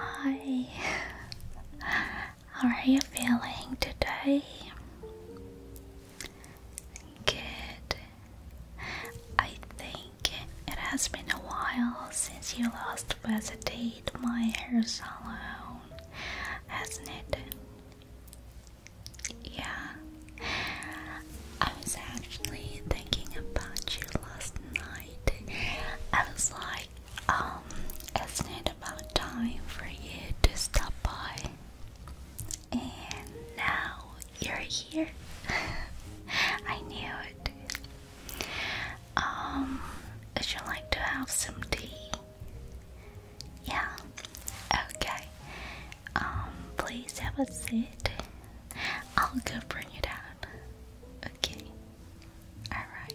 Hi, how are you feeling today? Good. I think it has been a while since you last visited my hair salon, hasn't it? Yeah. I was actually thinking about you last night. I was like, um, isn't it about time for you to stop by? And now you're here. I knew it. Um, would you like to have some tea? Yeah. Okay. Um, please have a seat. I'll go bring you down. Okay. Alright.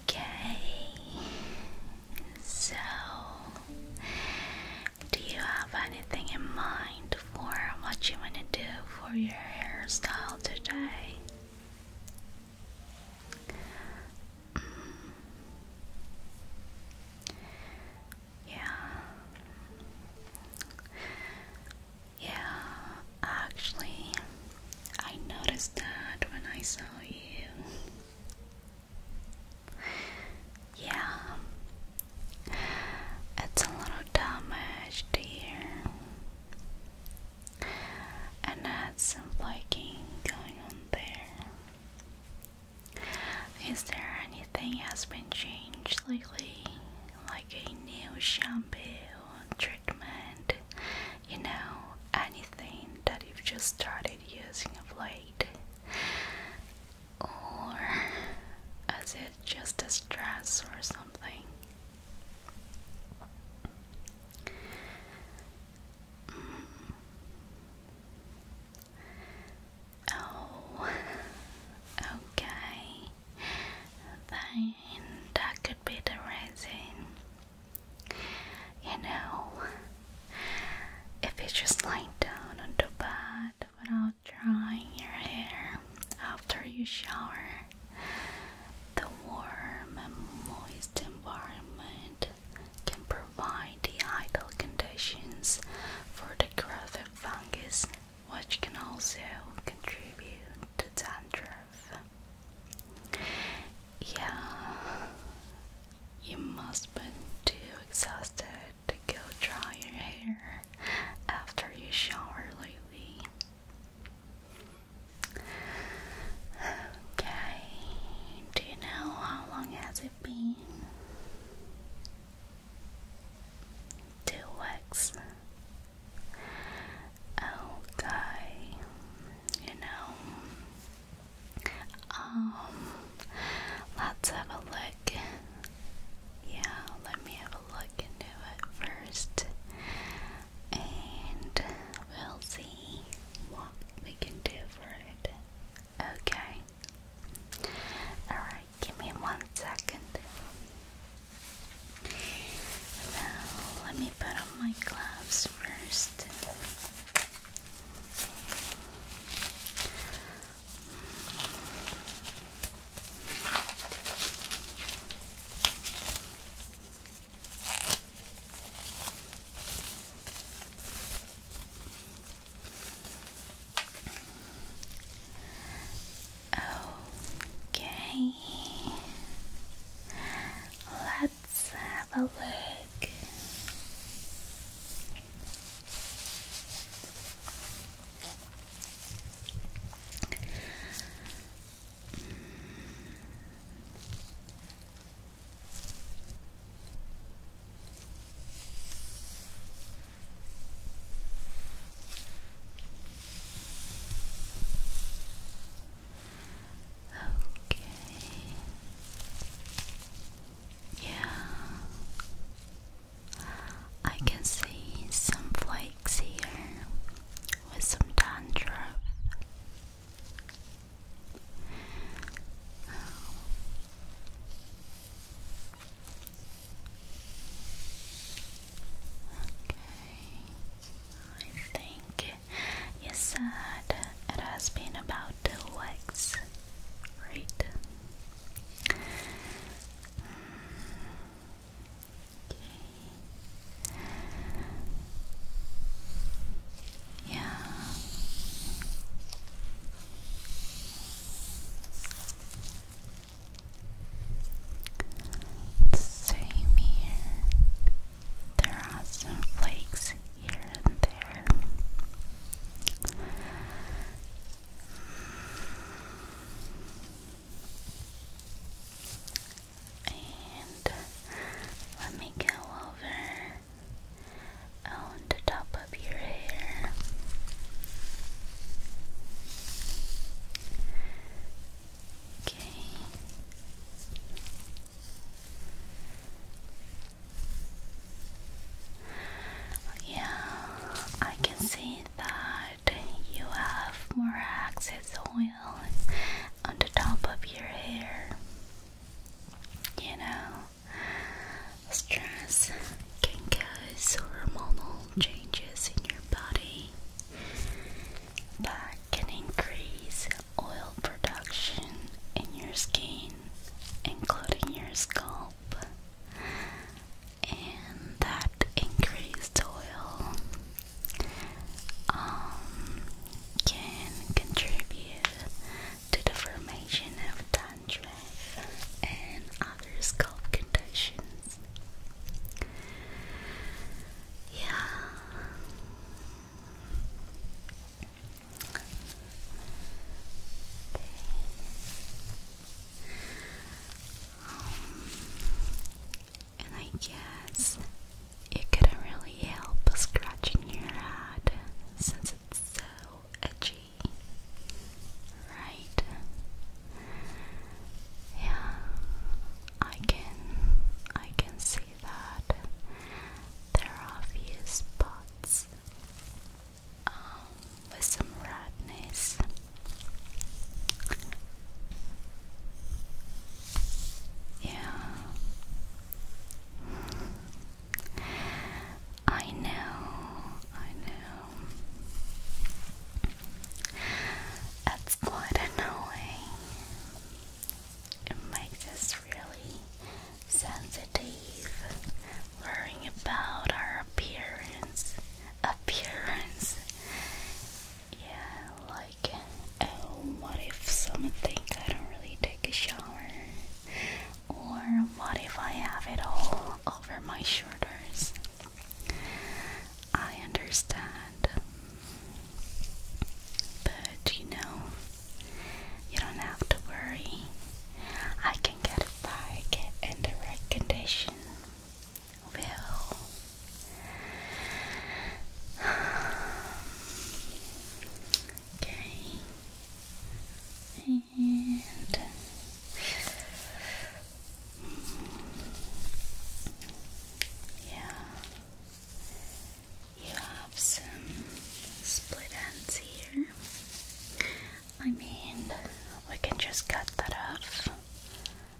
Okay, so do you have anything in mind for what you want to do for your hairstyle today? Mm. Yeah. Yeah, actually, I noticed that when I saw you. Yeah, it's a little damaged here, and that's some flaking going on there. Is there anything has been changed lately? Like a new shampoo treatment, you know, anything that you've just started using of late, or is it just a stress or something? Mm. Oh, okay. Then that could be the reason. You know, if you just lie down on the bed without drying your hair after you shower, the warm and moist environment can provide the ideal conditions for the growth of fungus, which can also contribute to dandruff. Yeah, you must been too exhausted to go dry your hair after you shower lately. Okay, do you know how long has it been? Two weeks okay, you know, um, let's have a look. Yeah, let me have a look into it first, and we'll see what we can do for it. Okay, alright, give me one second. Now, let me put my gloves first. Okay, let's have a look. Okay. Yeah. I can see some flakes here with some dandruff. Okay, I think Yes, said it has been about two weeks, right? okay. Yeah. Same here. There are some flakes here and there. And let me go over on the top of your hair. Okay. Yeah, I can see that you have more excess oil on the top of your hair. You know, stress can cause hormonal changes in your body that can increase oil production in your skin, including your scalp, and that increased oil um, can contribute to the formation of dandruff and other scalp conditions. Yeah, and I guess it couldn't really help scratching your head since it's so edgy, right? Yeah, I can, I can see that there are a few spots um, with some redness. Yeah, I know, I know. That's quite annoying. It makes us really sensitive worrying about our appearance. Appearance. Yeah, like oh what if someone think I don't really take a shower? Or what if I have it all over my shoulders? I understand. But you know, you don't have to worry. I can get it back in the right condition. Well, okay, and yeah, you have some split ends here. I mean, we can just cut that off.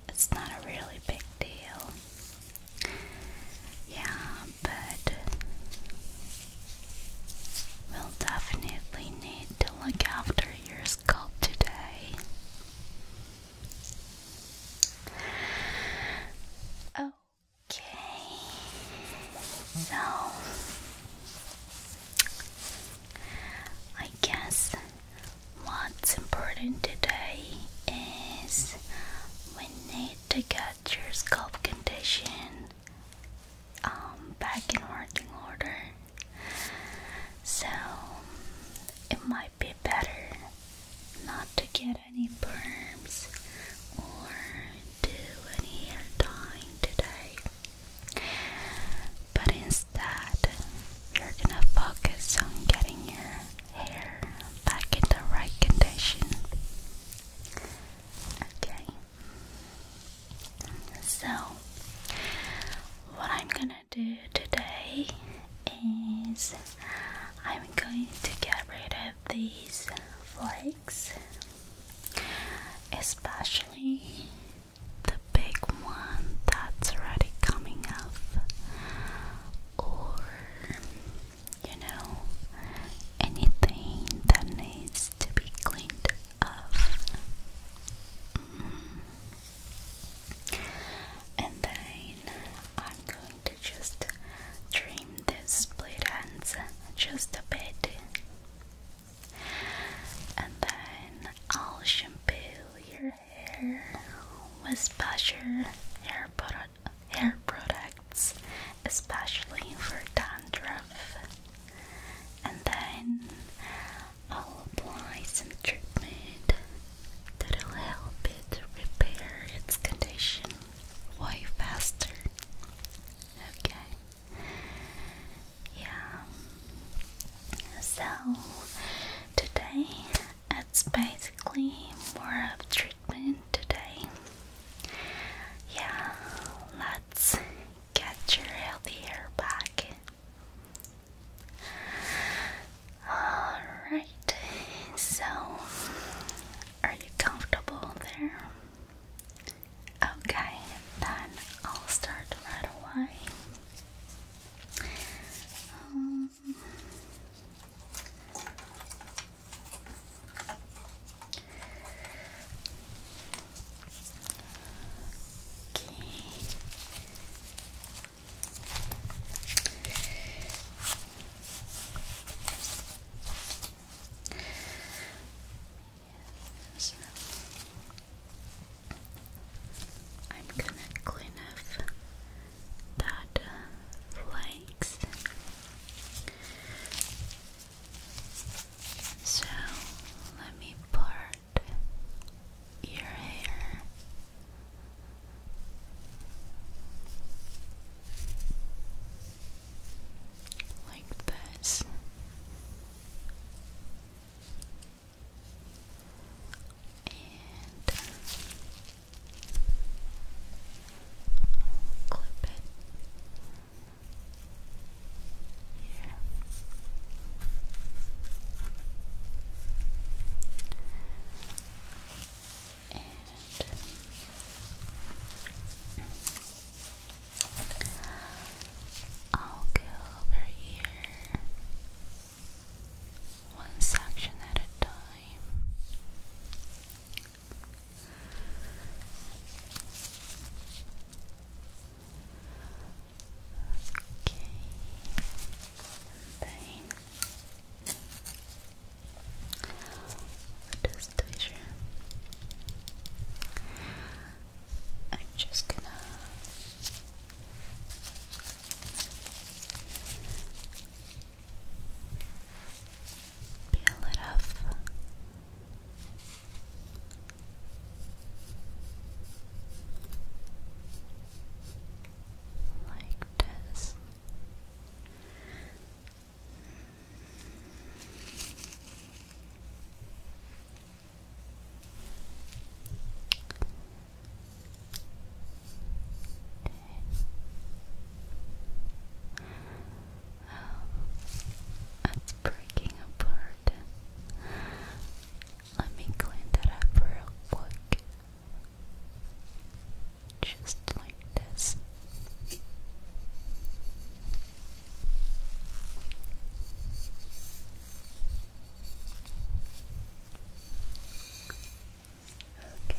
It's not a really big deal. Yeah, but we'll definitely need to look after your scalp today. Oh, Okay, so I guess what's important today is we need to get your scalp condition um, back in working order. So it might be better not to get any perms or do any hair dyeing today. But instead, you're gonna focus on getting your hair back in the right condition. Okay. So, what I'm gonna do today is I'm going to get rid of these flakes, especially the big one that's already coming off, or you know, anything that needs to be cleaned up. Mm. And then I'm going to just dream this split ends just a bit. And then I'll shampoo your hair with special hair, product, hair products, especially for dandruff. And then I'll apply some treatment that'll help it repair its condition way faster. Okay. Yeah. So today it's basically more of treatment today. Yeah, let's get your healthy hair back. Alright, so are you comfortable there? Okay, then I'll start right away. Um, okay. Yes. I'm gonna clean up that flakes. Uh, so let me part your hair like this. And clip it here. And I'll go over here one section at a time. Okay. And just to be I'm just gonna peel it off. Like this. Oh, it's breaking apart. Let me clean that up real quick just like this. Okay. Good.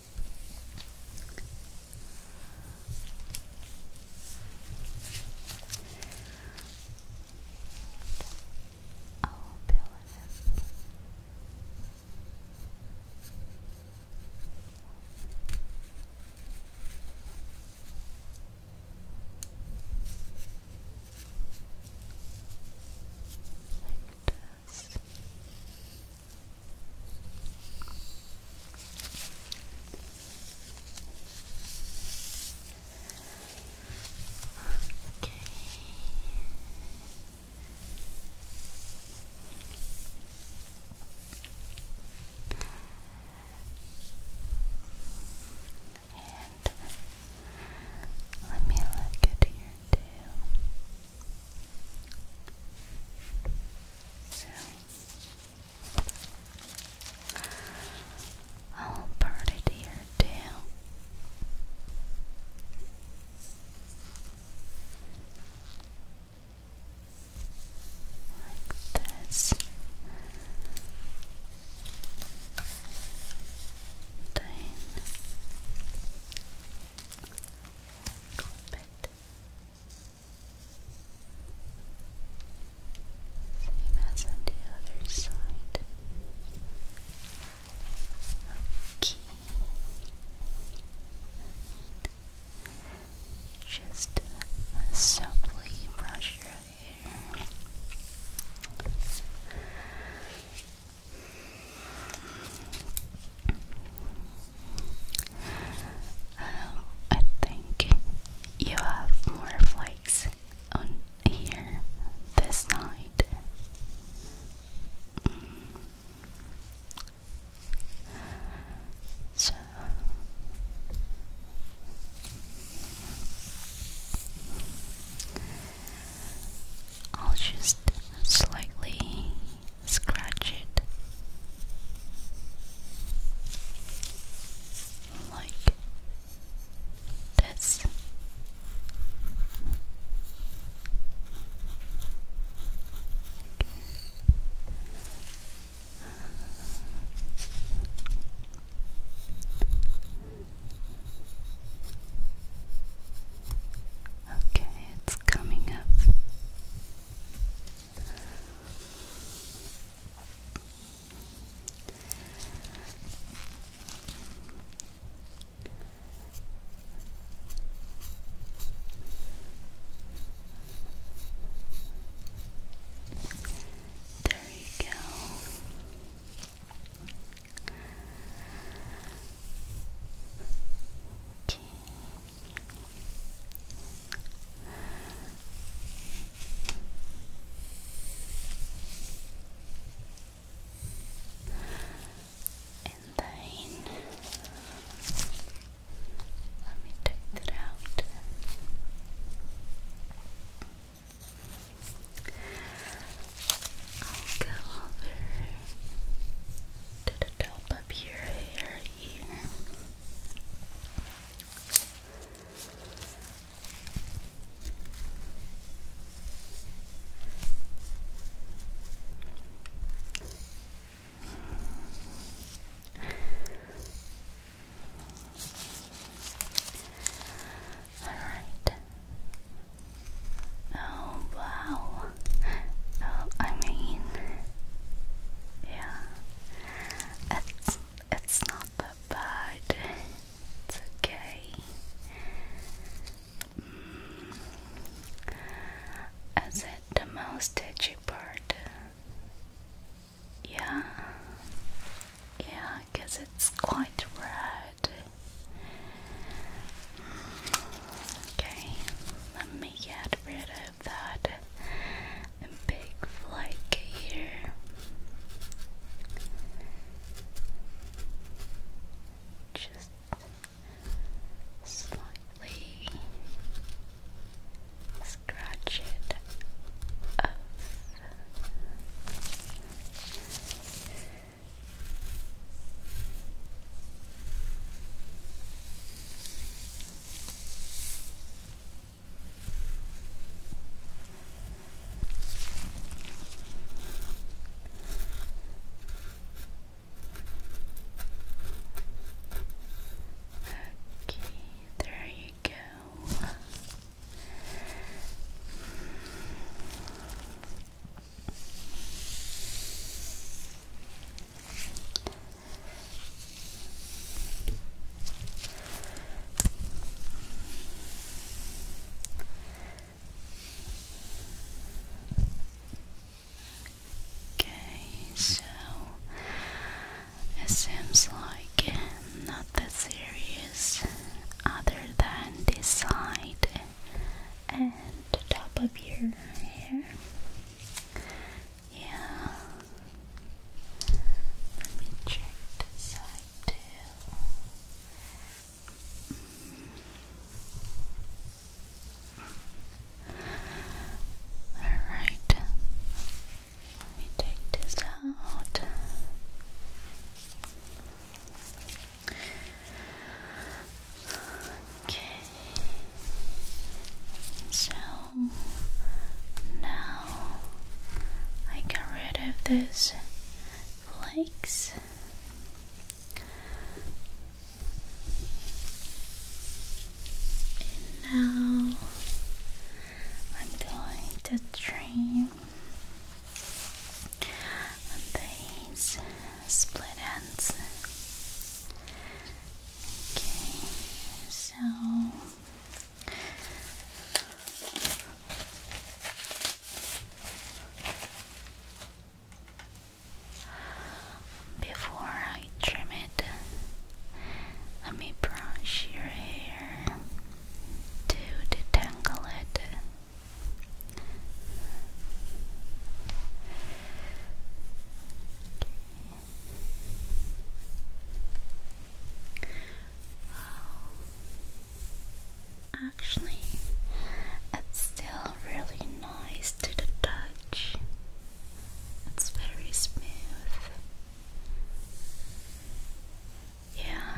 Oh, I'll build it. Like that this. Okay. And let me look at here too. So I'll put it here too. Like this. Then go a same as on the other side. Okay. Just uh, brush your hair. I think you have more flakes on here this night. Mm. So. I'll just slightly scratch it like this. Okay, it's coming up there you go. Okay. And then let me take that out. I'll go over to the top your hair here. All right. Oh, wow. I mean, yeah, it's it's not that bad. It's okay. Mm. Is the most itchy part? Yeah, yeah, because it's quite red. Okay, let me get rid of that big flake here. Just slightly scratch it up. Okay, there you go. Okay, so it seems like not that serious other than this side and the top of your hair. Yeah. Let me check the side too. Alright. Let me take this out. Okay. So now I got rid of those flakes. now I'm going to trim these split ends so before I trim it, let me brush your hair to detangle it. Actually, it's still really nice to the touch. It's very smooth. Yeah.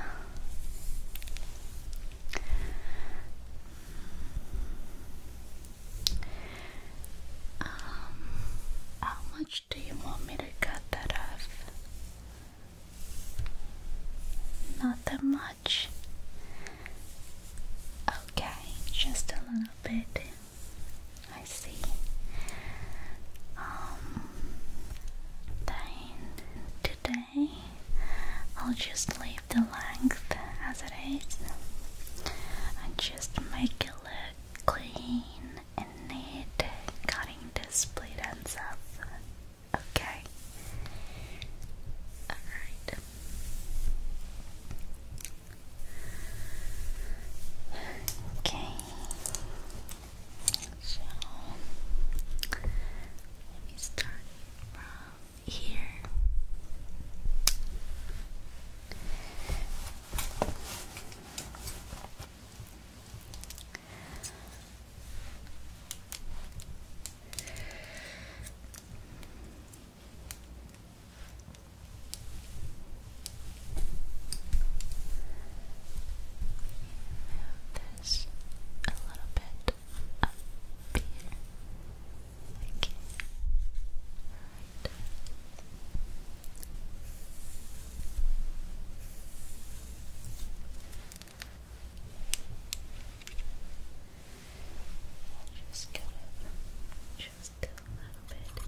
Um, how much do you want me to cut that off? Not that much. Okay, just a little bit. I see. Um, then today I'll just leave the length as it is and just make it look clean and neat, cutting this blade ends up. Okay. Alright. Okay. So let me start from here. Move this a little bit up here. Okay. Just gonna just a little bit here.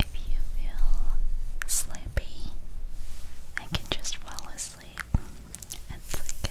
If you feel sleepy, I can just fall asleep. It's okay.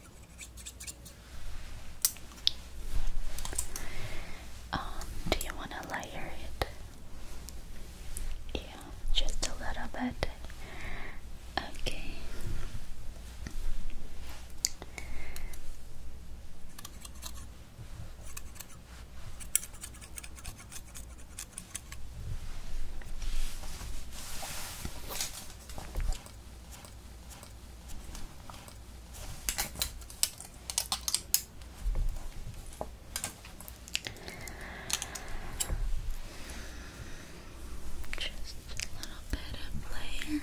Um, do you want to layer it? Yeah, just a little bit. Okay. Just a little bit of layer.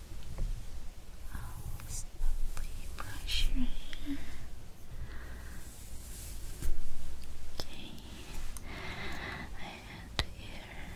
I'll slowly brush your hair. Okay, I here.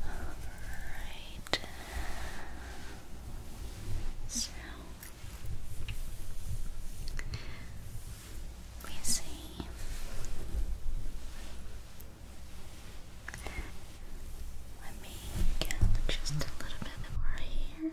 Alright. So we see. Let me get just a little bit more here.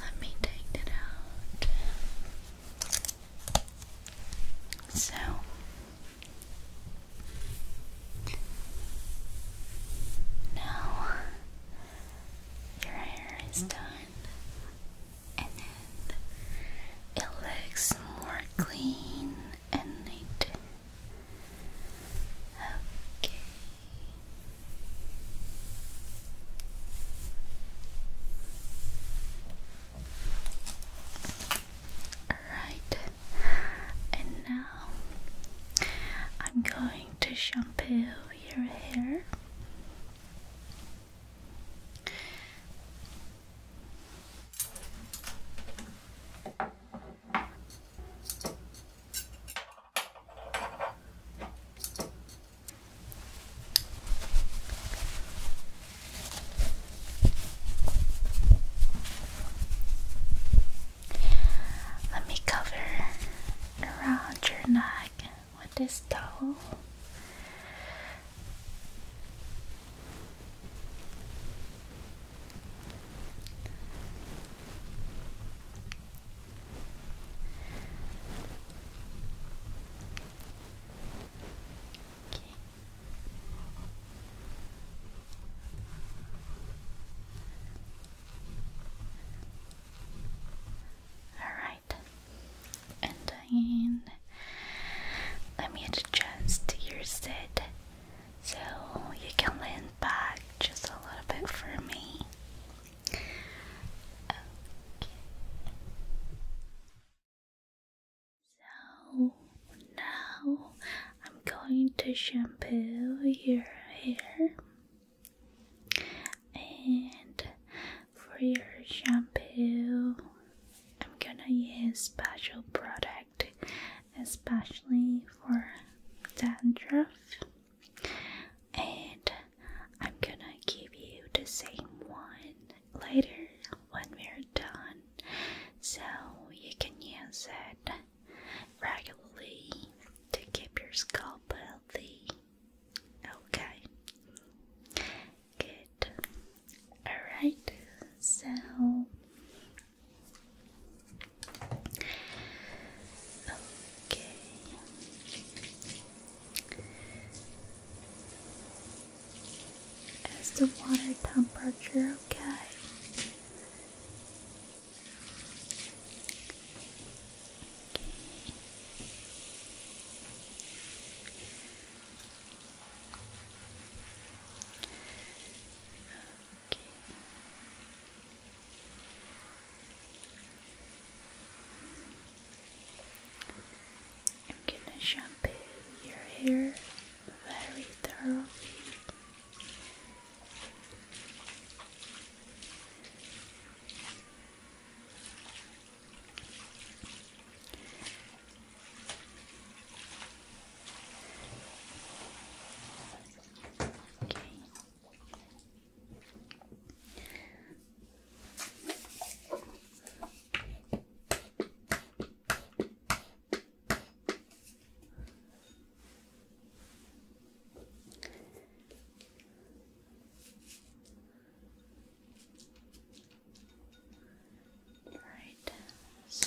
Let me take that out. So now your hair is done, and it looks more clean and eight. Okay. Right. And now I'm going to shampoo your hair. Let me cover around your neck with this towel. Alright, and then let me adjust your set so you can lean back just a little bit for me. So now I'm going to shampoo your hair. And for your shampoo, I'm gonna use special product especially for dandruff. And I'm gonna give you the same one later when we're done, so you can use it regularly to keep your scalp healthy. Okay, good. Alright, so Okay. Is the water temperature okay? Okay. I'm gonna shampoo your hair very thoroughly. Okay. Right, so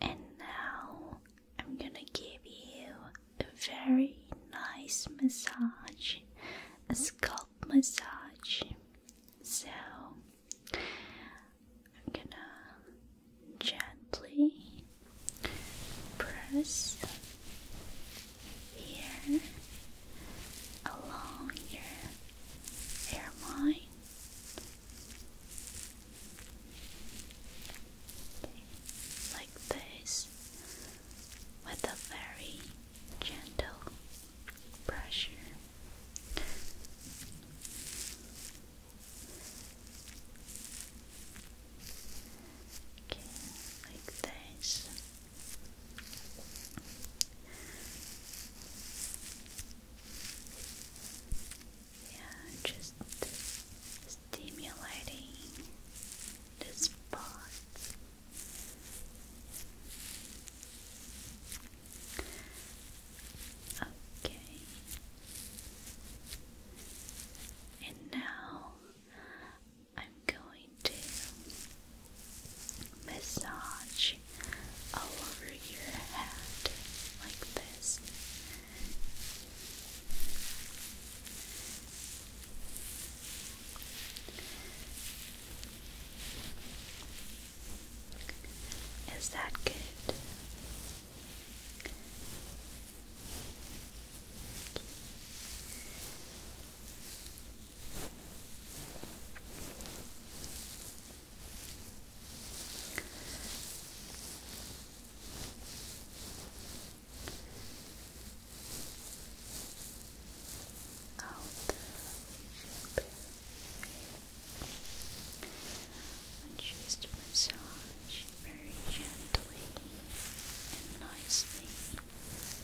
And now I'm gonna give you a very nice massage, a scalp massage. So I'm gonna gently press here, along your hairline. Okay. Like this, with a very gentle pressure. Okay, like this. Yeah, just stimulating the spots. Okay. And now I'm going to massage all over your head like this. Is that good? and just massage very gently and nicely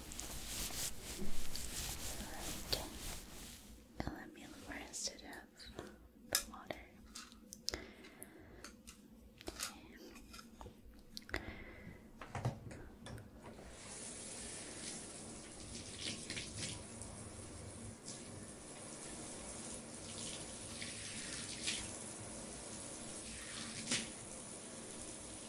Alright. And instead of the water.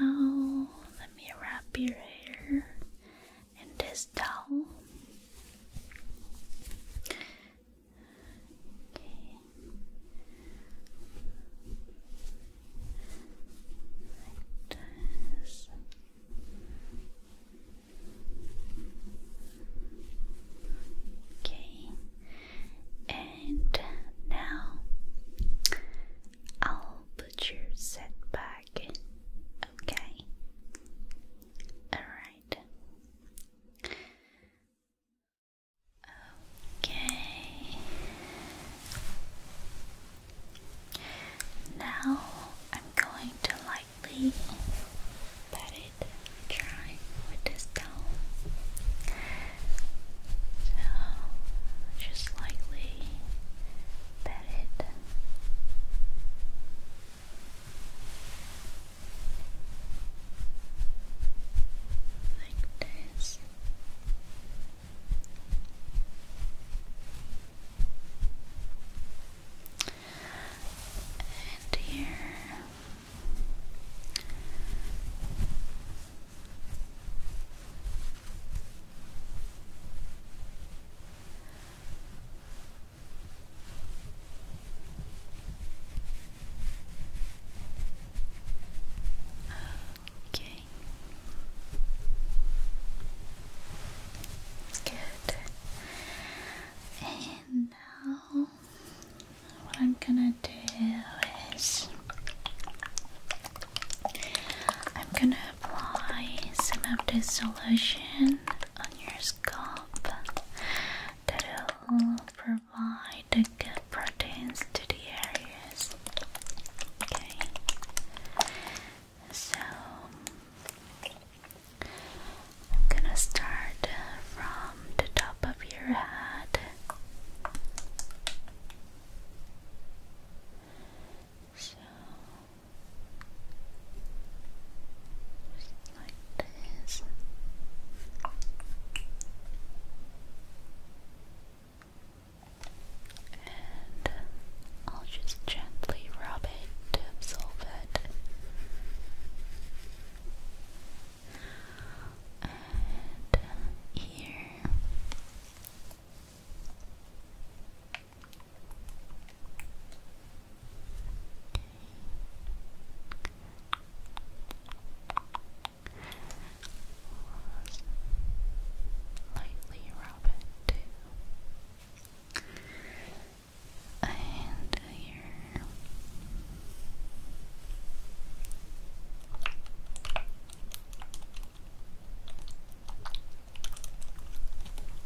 now let me wrap your hair and this down. Okay. and now I'll put your set back. Okay. Alright. Okay. Now I'm going to lightly pat it dry with this towel. So just lightly buried. Like this. And here Okay. Good. And now what I'm gonna do is I'm gonna apply some of this solution on your scalp that will provide the good proteins to the areas. Okay, so I'm gonna start from the top of your head. So like this. And I'll just gently rub it to absorb it. And here. Lightly rub it too. here.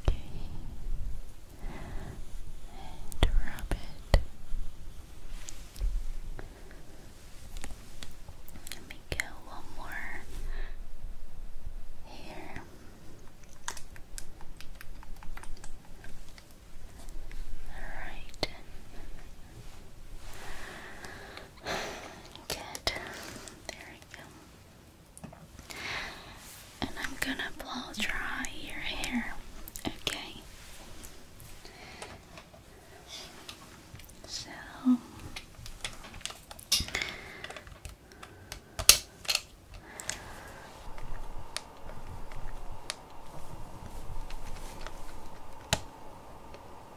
Okay. And rub it. Let me get one more here. Alright. Good. There we go. And I'm gonna blow dry your hair, okay? So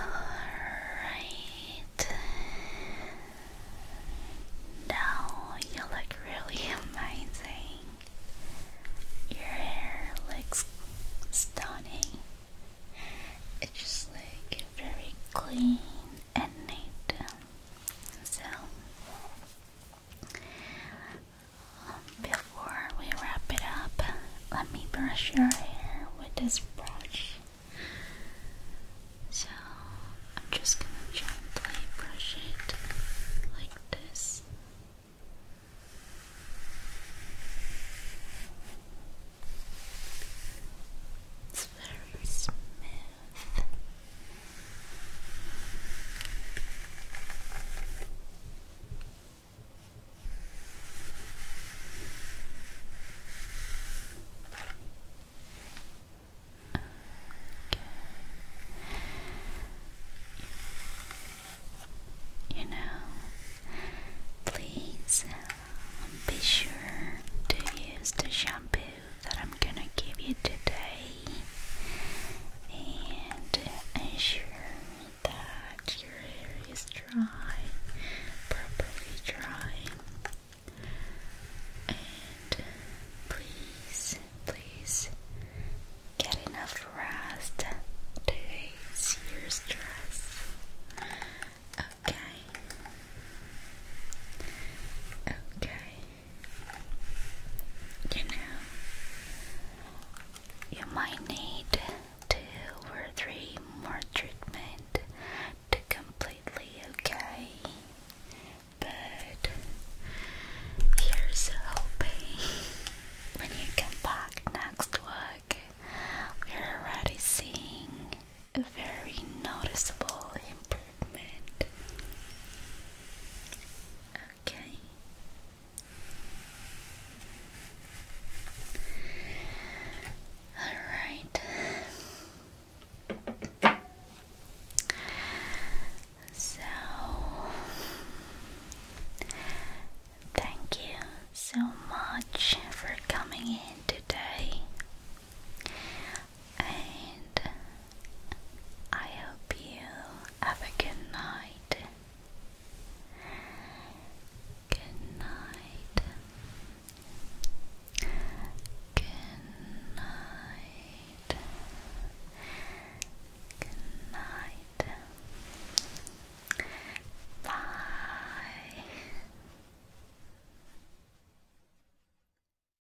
Alright. Now you look really amazing. Your hair looks stunning. It just like very clean and neat. So before we wrap it up, let me brush your hair with this brush. So I'm just gonna gently brush it like this. It's very smooth. You know, please be sure to use the shampoo that I'm gonna give you today and ensure that your hair is dry, properly dry. And please, please get enough rest. Today is your stress. Okay. Okay you know, you might need two or three more treatment to completely okay. But here's hoping when you come back next week, we're already seeing a very noticeable improvement. Okay. All right. So, thank you so much for coming in today and I hope you have a good night. Good night. Good night. Good night. Bye.